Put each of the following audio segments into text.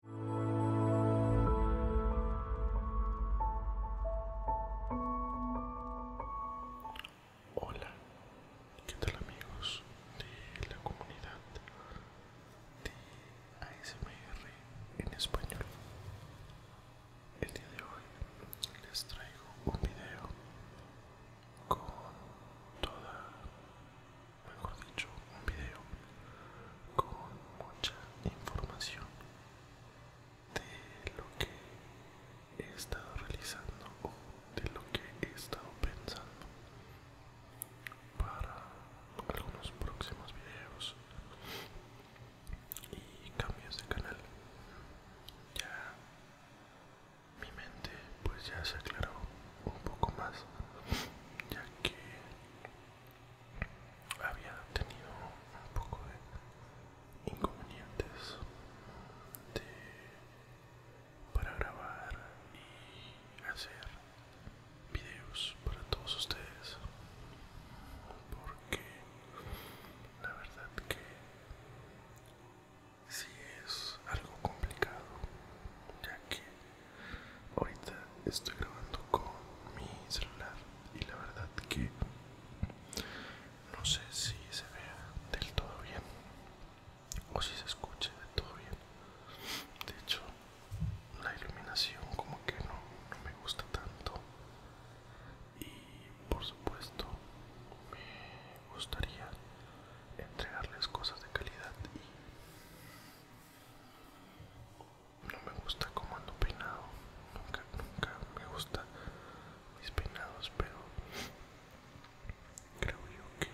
Hola, ¿qué tal amigos de la comunidad de ASMR en español? El día de hoy les traigo un video con toda mejor dicho, un video con mucha información de lo que he estado realizando o de lo que he estado pensando para algunos próximos videos y cambios de canal ya mi mente pues ya se aclaró un poco más ya que había tenido un poco de inconvenientes para grabar y hacer videos para todos ustedes porque la verdad que si sí es algo complicado ya que Ahorita estoy grabando con mi celular y la verdad que no sé si se vea del todo bien o si se escuche del todo bien. De hecho, la iluminación como que no, no me gusta tanto y por supuesto me gustaría entregarles cosas de calidad y no me gusta como ando peinado nunca nunca me gusta mis peinados pero creo yo que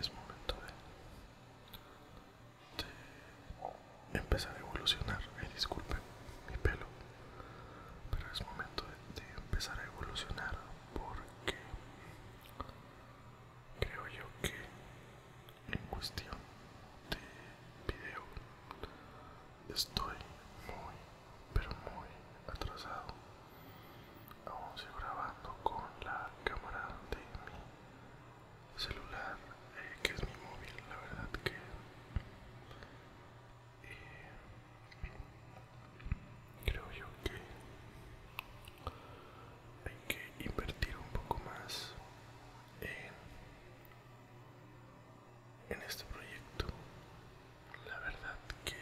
es momento de, empezar a evolucionar disculpen mi pelo pero es momento de empezar a evolucionar porque creo yo que en cuestión de video estoy muy pero muy atrasado aún grabando con la cámara de mi celular eh, que es mi móvil la verdad que eh, creo yo que hay que invertir un poco más en, este proyecto. La verdad que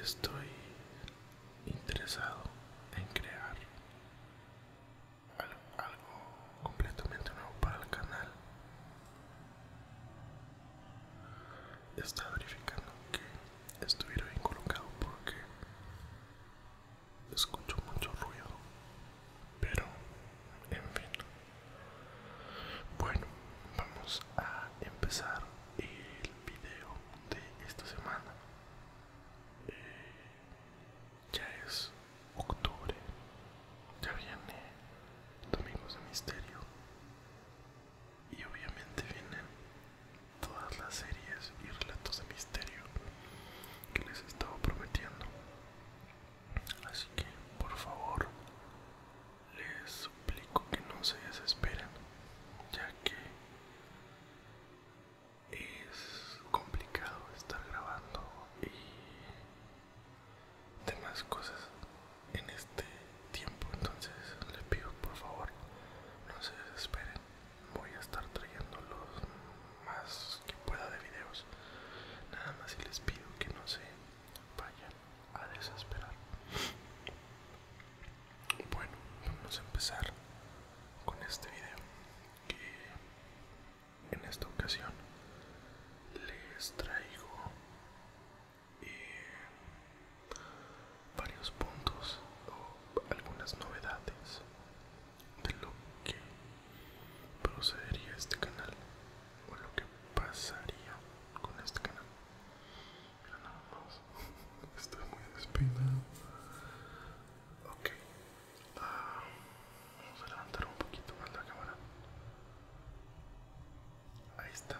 estoy interesado en crear algo, completamente nuevo para el canal. está verificando que estuviera bien colocado porque Escucho mucho ruido, pero en fin. Bueno, vamos a empezar el video de esta semana. Eh, ya es octubre, ya viene Domingos de Misterio y obviamente vienen todas las series y relatos de misterio que les estaba prometiendo. Así que, por favor, les suplico que no se desesperen, ya que es complicado estar grabando y demás cosas en este tiempo entonces les pido por favor no se desesperen voy a estar trayendo los más que pueda de videos nada más y les pido que no se vayan a desesperar bueno vamos a empezar con este video que en esta ocasión les traigo eh, varios puntos o algunas novedades de lo que procedería este canal o lo que pasaría con este canal mira nada más estoy muy despeinado ok ah, vamos a levantar un poquito más la cámara ahí está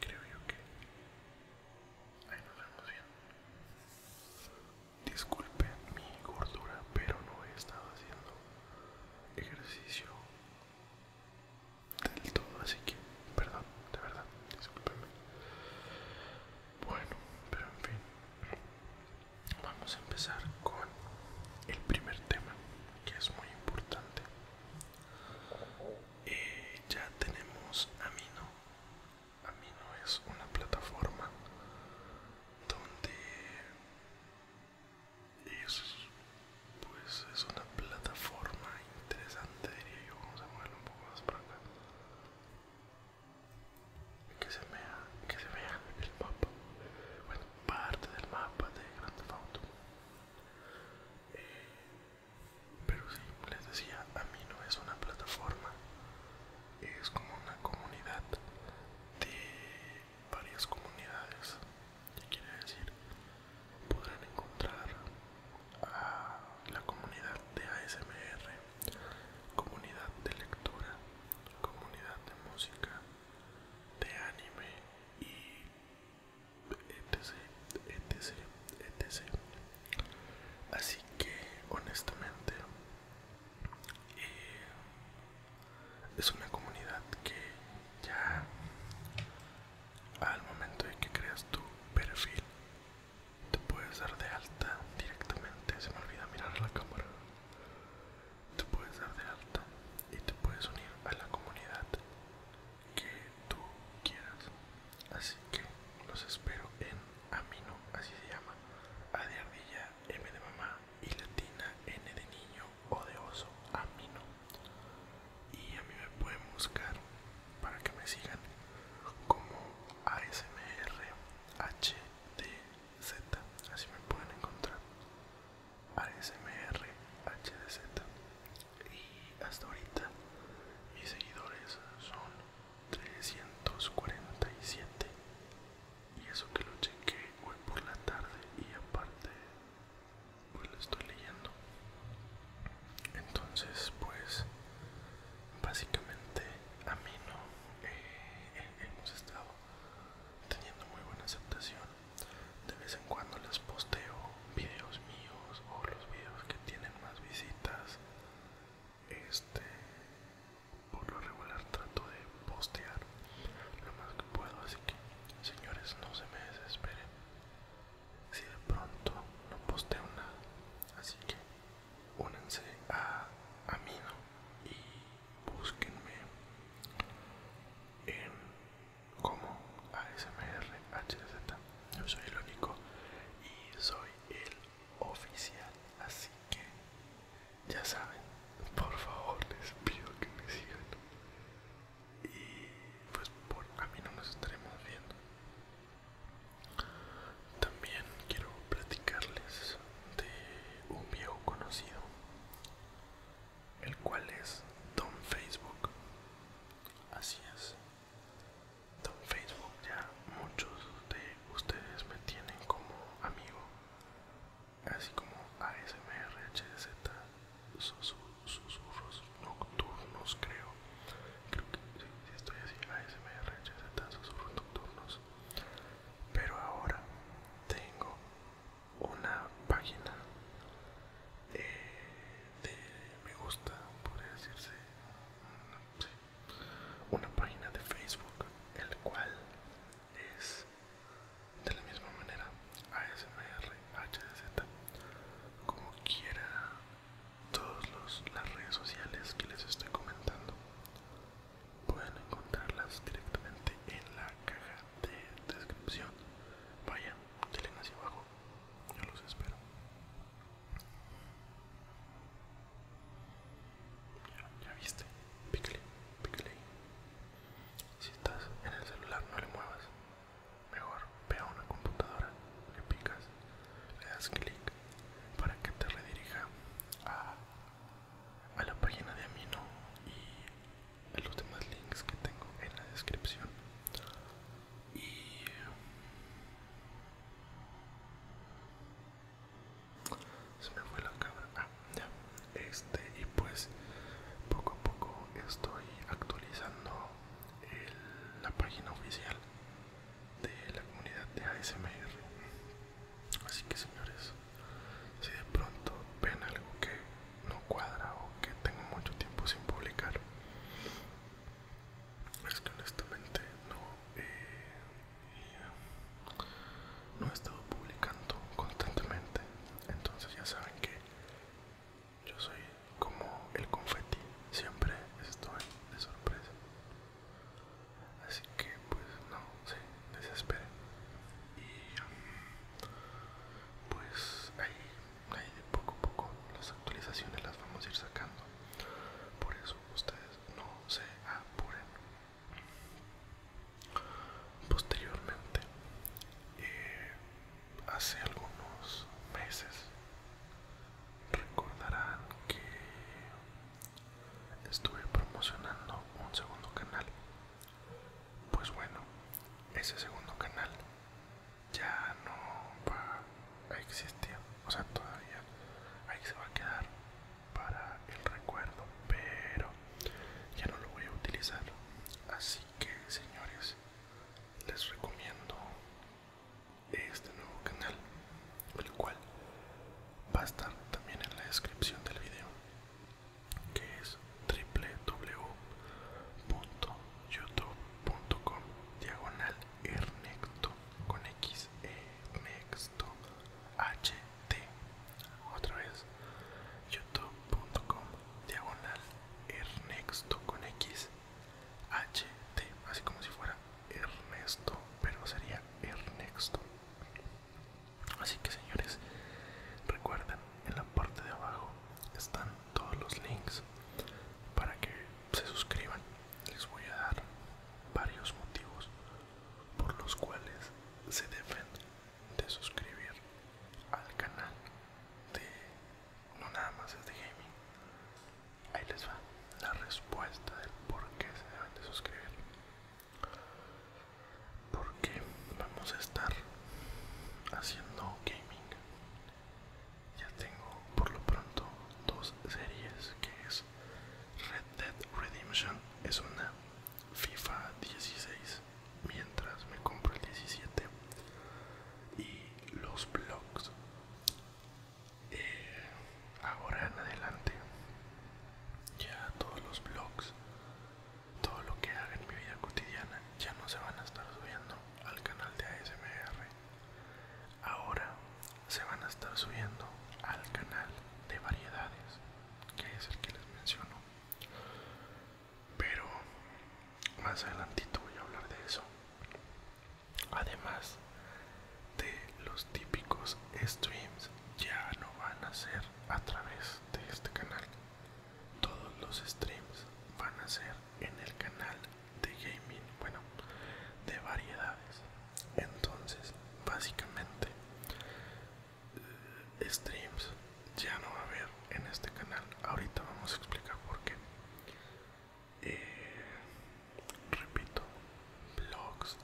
creo yo que Ahí nos vemos bien. Disculpen mi gordura, pero no he estado haciendo ejercicio del todo, así que, perdón, de verdad, discúlpenme. Bueno, pero en fin, vamos a empezar con el primer tema, que es muy importante. Eh, ya tenemos amino a mí no es una plataforma donde es, pues es una plataforma interesante diría yo, vamos a moverlo un poco más para acá que se vea, que se vea el mapa, bueno parte del mapa de Grand Theft eh, pero sí les decía a mí no es una plataforma es como una comunidad de varias comunidades que quiere decir podrán encontrar a la comunidad de ASMR comunidad de lectura comunidad de música de anime y etc etc etc Así que, honestamente, eh, es una comunidad que ya al momento de que creas tu perfil te puedes dar de alta directamente. Se me olvida mirar la cámara. Te puedes dar de alta y te puedes unir a la comunidad que tú quieras Así que los espero en Amino, así se llama, A de ardilla, M de mamá y latina, N de niño o de oso, Amino. Y a mí me pueden buscar para que me sigan como ASMRHDZ, así me pueden encontrar. ASMRHDZ. Y hasta ahorita mis seguidores son 347 y eso que lo cheque hoy por la tarde y aparte pues lo estoy leyendo entonces pues básicamente a mí no eh, eh, hemos estado teniendo muy buena aceptación de vez en cuando les posteo videos míos o los videos que tienen más visitas este por lo regular trato de postear lo más que puedo así que señores no se me desesperen si de pronto no posteo nada así que únanse a mí y búsquenme en como ASMR yo soy el único y soy el oficial así que ya saben por favor les pido que me sigan y pues por a mí no nos estaremos viendo también quiero platicarles de un viejo conocido el cual es don facebook así es en Facebook ya muchos de ustedes me tienen como amigo, así como ASMRHZ, susurros nocturnos creo, creo que si, estoy así, ASMRHZ, susurros nocturnos, pero ahora tengo una página eh, de me gusta, por decirse, mm, una página de Facebook, el cual es de la misma manera ASMR, HDZ, como quiera todas las redes sociales que les estoy comentando pueden encontrarlas directamente en la caja de descripción. Vayan, denle hacia abajo, yo los espero. Ya, viste, pícale, pícale. Si estás en el celular no le muevas. Mejor ve a una computadora, le picas, le das clic para que te redirija a, a la página de Amino y a los demás links que tengo en la descripción. Y se me fue la cámara ah, ya este y pues poco a poco estoy actualizando la página oficial de la comunidad de ASMR así que señores si de pronto ven algo que no cuadra o que tengo mucho tiempo sin publicar es que honestamente eh, no he estado publicando constantemente entonces ya saben que yo soy como el confeti siempre estoy de sorpresa así que pues no se desesperen y pues ahí, ahí poco a poco las actualizaciones las vamos a ir sacando por eso ustedes no se apuren posteriormente eh, hace algunos meses recordarán que estuve promocionando un segundo canal pues bueno ese segundo canal ya no va existía, o sea, todavía ahí se va a quedar para el recuerdo, pero ya no lo voy a utilizar. Así que, señores, les recomiendo este nuevo canal, el cual va a estar también en la descripción del video, que es www.youtube.com diagonal Ernecto con X. E next ht otra vez youtube.com diagonal Ernesto con x ht así como si fuera ernesto pero sería Ernesto así que señores recuerden en la parte de abajo están todos los links para que se suscriban les voy a dar varios motivos por los cuales se deben de suscribir al canal de no nada más es de gaming ahí les va la respuesta del por qué se deben de suscribir porque vamos a estar haciendo gaming ya tengo por lo pronto dos series que es Red Dead Redemption es una FIFA 16 mientras me compro el 17 y los blogs eh, ahora en adelante ya todos los blogs todo lo que haga en mi vida cotidiana ya no se van a estar subiendo al canal de ASMR Ahora se van a estar subiendo al canal de variedades, que es el que les menciono. Pero más adelantito voy a hablar de eso. Además de los típicos streams, ya no van a ser a través de este canal. Todos los streams van a ser en el canal de gaming, bueno, de variedades. Entonces, básicamente, eh, streams ya no va a haber en este canal. Ahorita vamos a explicar por qué. Eh, repito, blogs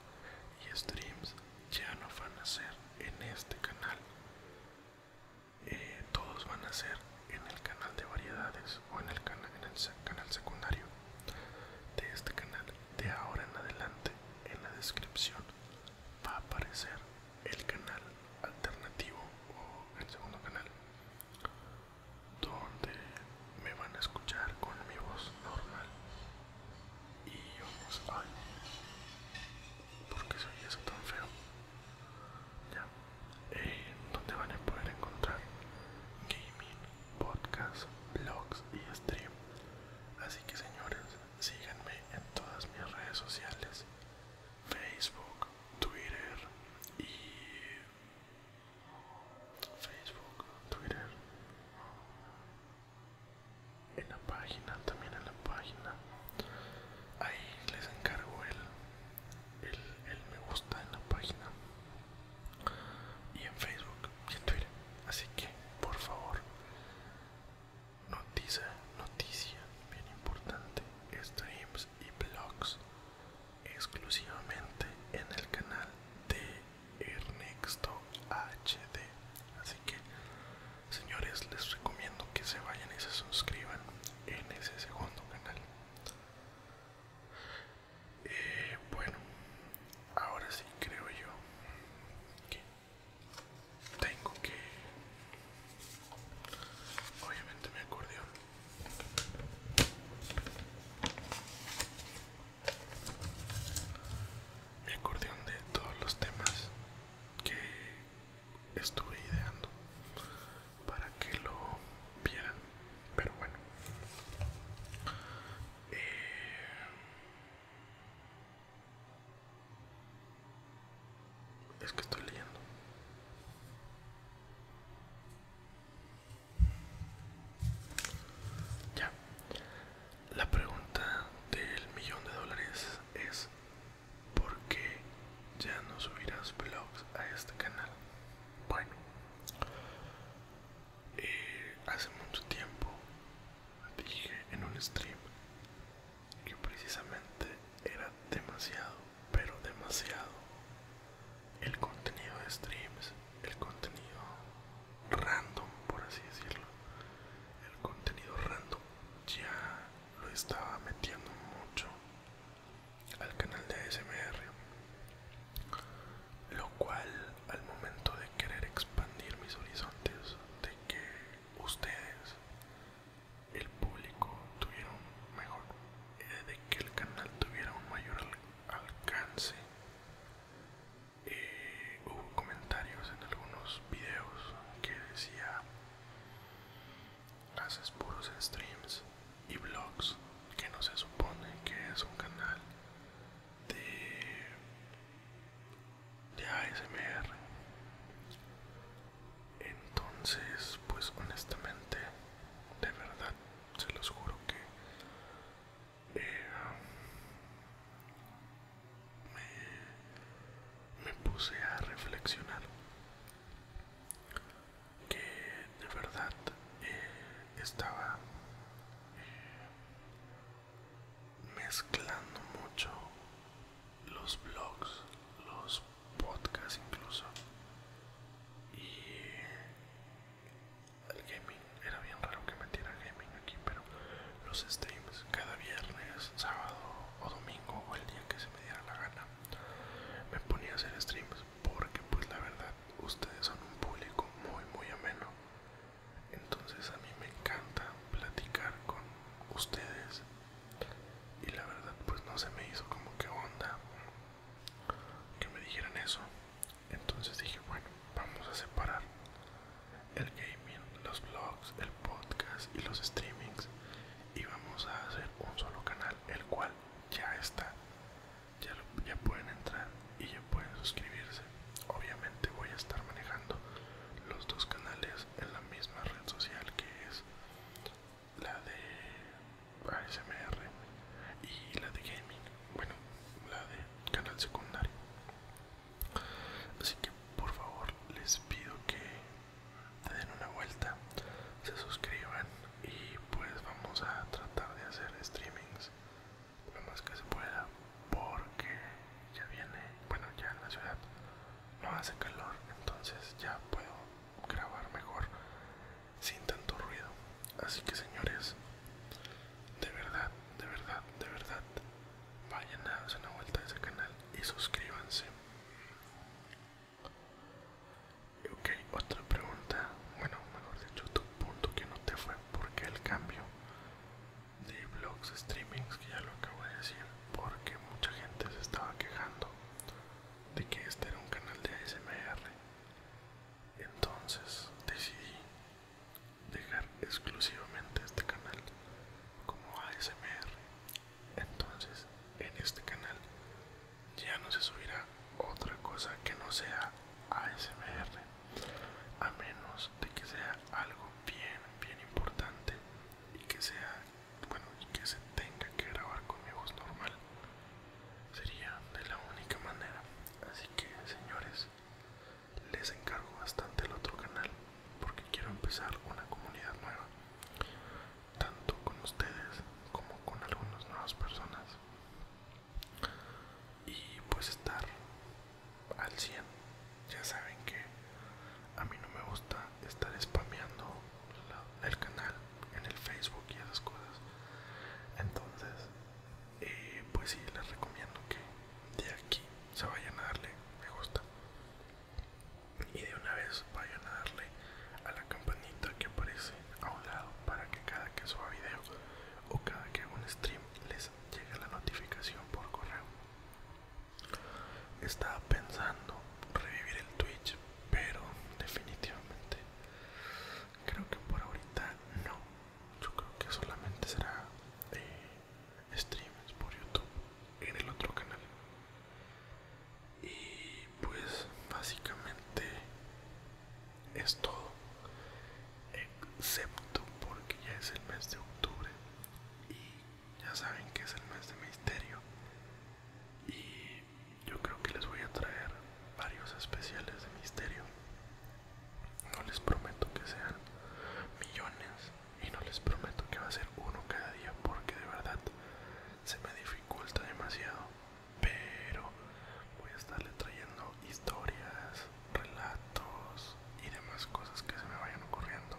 y streams ya no van a ser en este canal. Eh, todos van a ser en el canal de variedades o en el, canal en el canal secundario de este canal de ahora en adelante en la descripción va a aparecer el canal alternativo o el segundo canal donde me van a escuchar con mi voz normal y vamos ay porque soy eso tan feo ya eh, donde van a poder encontrar gaming podcast, blogs y stream. Así que señores, síganme en todas mis redes sociales. Facebook, Twitter y... Facebook, Twitter. En la página, también en la página. Ahí les encargo el, el, el me gusta en la página y en Facebook y en Twitter. Así que, por favor, noticia, noticia bien importante, streams y blogs exclusivamente en el canal de Ernesto HD. Así que, señores, les recomiendo que se vayan y se suscriban en ese segundo canal. Eh, bueno, ahora sí creo yo que tengo que... Obviamente me acordeón. Mi acordeón de todos los temas que estuve ideando para que lo vieran. Pero bueno, eh, es que estoy leyendo. Ya. La pregunta del millón de dólares es ¿por qué ya no subirás vlogs a este canal? Bueno, eh, hace mucho tiempo dije en un stream que precisamente era demasiado, pero demasiado el contenido de streams, el contenido random, por así decirlo. El contenido random ya lo estaba metiendo mucho al canal de ASMR lo cual al momento de querer expandir mis horizontes de que ustedes el público tuvieron mejor eh, de que el canal tuviera un mayor alcance eh, hubo comentarios en algunos videos que decía haces puros streams y blogs que no se supone que es un canal de, ASMR. Entonces, pues honestamente, de verdad, se los juro que eh, me, me puse a reflexionar que de verdad eh, estaba eh, mezclando mucho los blogs, los podcasts incluso y el gaming. Era bien raro que metiera gaming aquí, pero los streams cada viernes, sábado o domingo o el día que se me diera la gana me ponía a hacer streams porque pues la verdad ustedes son un público muy muy ameno entonces a mí me encanta platicar con ustedes y la verdad pues no se me hizo como que onda que me dijeran eso entonces dije bueno vamos a separar el gaming los vlogs, el podcast y los streamings y vamos a hacer un solo canal el cual ya está ya, pueden entrar y ya pueden suscribirse. Obviamente voy a estar manejando los dos canales en la misma red social que es la de ASMR y la de gaming, bueno, la de canal secundario. Así que por favor les pido que te den una vuelta, se suscriban y pues vamos a tratar de hacer streamings lo más que se pueda porque ya viene bueno ya en la ciudad no hace calor entonces ya puedo grabar mejor sin tanto ruido así que señores de verdad de verdad de verdad vayan a darse una vuelta a ese canal y suscríbanse ok otra pregunta bueno mejor dicho tu punto que no te fue porque el cambio de blogs streamings que ya lo acabo de decir porque mucha gente se estaba quejando de que este era un canal de ASMR entonces decidí dejar exclusivamente este canal como ASMR entonces en este canal ya no se subirá otra cosa que no sea ASMR a menos de que sea algo bien bien importante y que sea bueno y que se tenga que grabar con mi voz normal sería de la única manera así que señores les encargo bastante el otro canal porque quiero empezar una comunidad nueva tanto con ustedes como con algunas nuevas personas y pues estar al 100 ya saben que a mí no me gusta estar spameando el canal en el facebook y esas cosas entonces eh, pues sí les recomiendo que de aquí se vayan a darle me gusta y de una vez vayan a darle a la campanita que aparece a un lado para que cada que suba video o cada que hago un stream les llega la notificación por correo. Estaba pensando revivir el Twitch, pero definitivamente creo que por ahorita no. Yo creo que solamente será eh, streams por YouTube en el otro canal. Y pues básicamente es todo excepto porque ya es el mes de octubre y ya saben que es el mes de misterio y yo creo que les voy a traer varios especiales de misterio no les prometo que sean millones y no les prometo que va a ser uno cada día porque de verdad se me dificulta demasiado pero voy a estarle trayendo historias, relatos y demás cosas que se me vayan ocurriendo.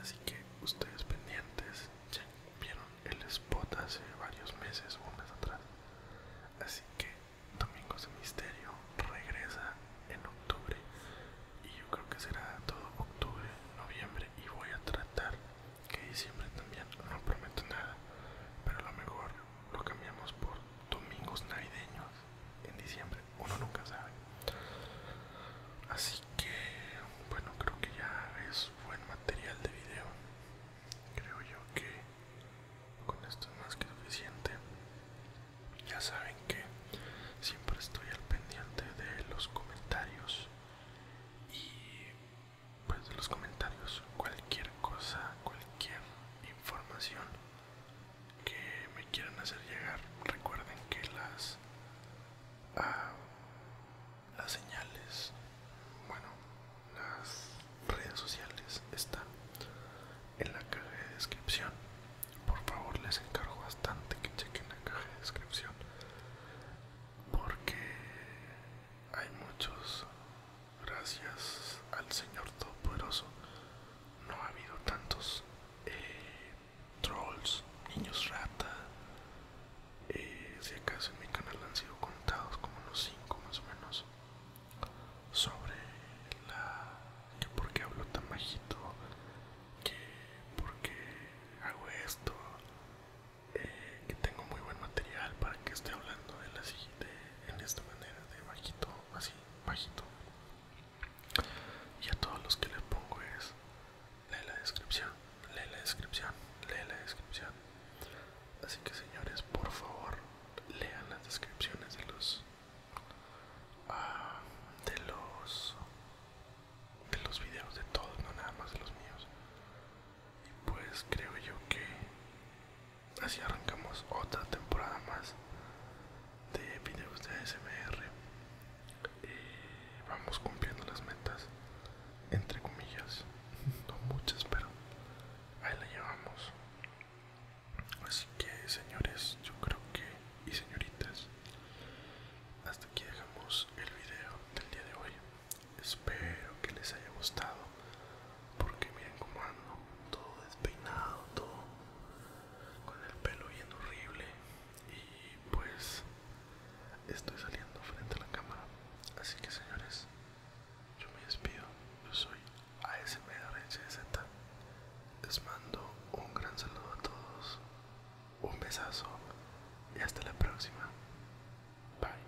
Así que ustedes pendientes, ya vieron el spot hace varios meses, un mes atrás. Así que Domingos de Misterio regresa en octubre y yo creo que será todo octubre, noviembre y voy a tratar que diciembre también, no prometo nada, pero lo mejor lo cambiamos por domingos navideños en diciembre uno nunca sabe así que bueno creo que ya es buen material de video creo yo que con esto es más que suficiente ya saben que siempre estoy al pendiente de los comentarios y pues los comentarios cualquier cosa cualquier información que me quieran hacer llegar recuerden que las ah, las señales bueno las redes sociales están en la caja de descripción por favor les encargo bastante que chequen la caja de descripción porque hay muchos gracias al Señor Todopoderoso, no ha habido tantos eh, trolls, niños rata. Eh, si acaso en mi canal han sido contados como unos 5 más o menos sobre la que por qué hablo tan bajito que por qué hago esto eh, que tengo muy buen material para que esté hablando de la siguiente de, este, en esta manera de bajito así bajito y a todos los que les pongo es lee la descripción lee la descripción lee la descripción así que señores por favor lean las descripciones de los ah, de los de los videos de todos no nada más de los míos y pues creo yo que así arrancamos otra temporada más de videos de ASMR vamos cumpliendo las metas entre comillas no muchas pero ahí la llevamos así que señores yo creo que y señoritas hasta aquí dejamos el video del día de hoy espero que les haya gustado porque miren cómo ando, todo despeinado, todo con el pelo bien horrible y pues estoy saliendo frente a la cámara. Así que señores, yo me despido, yo soy ASMRHZ, les mando un gran saludo a todos, un besazo y hasta la próxima. Bye.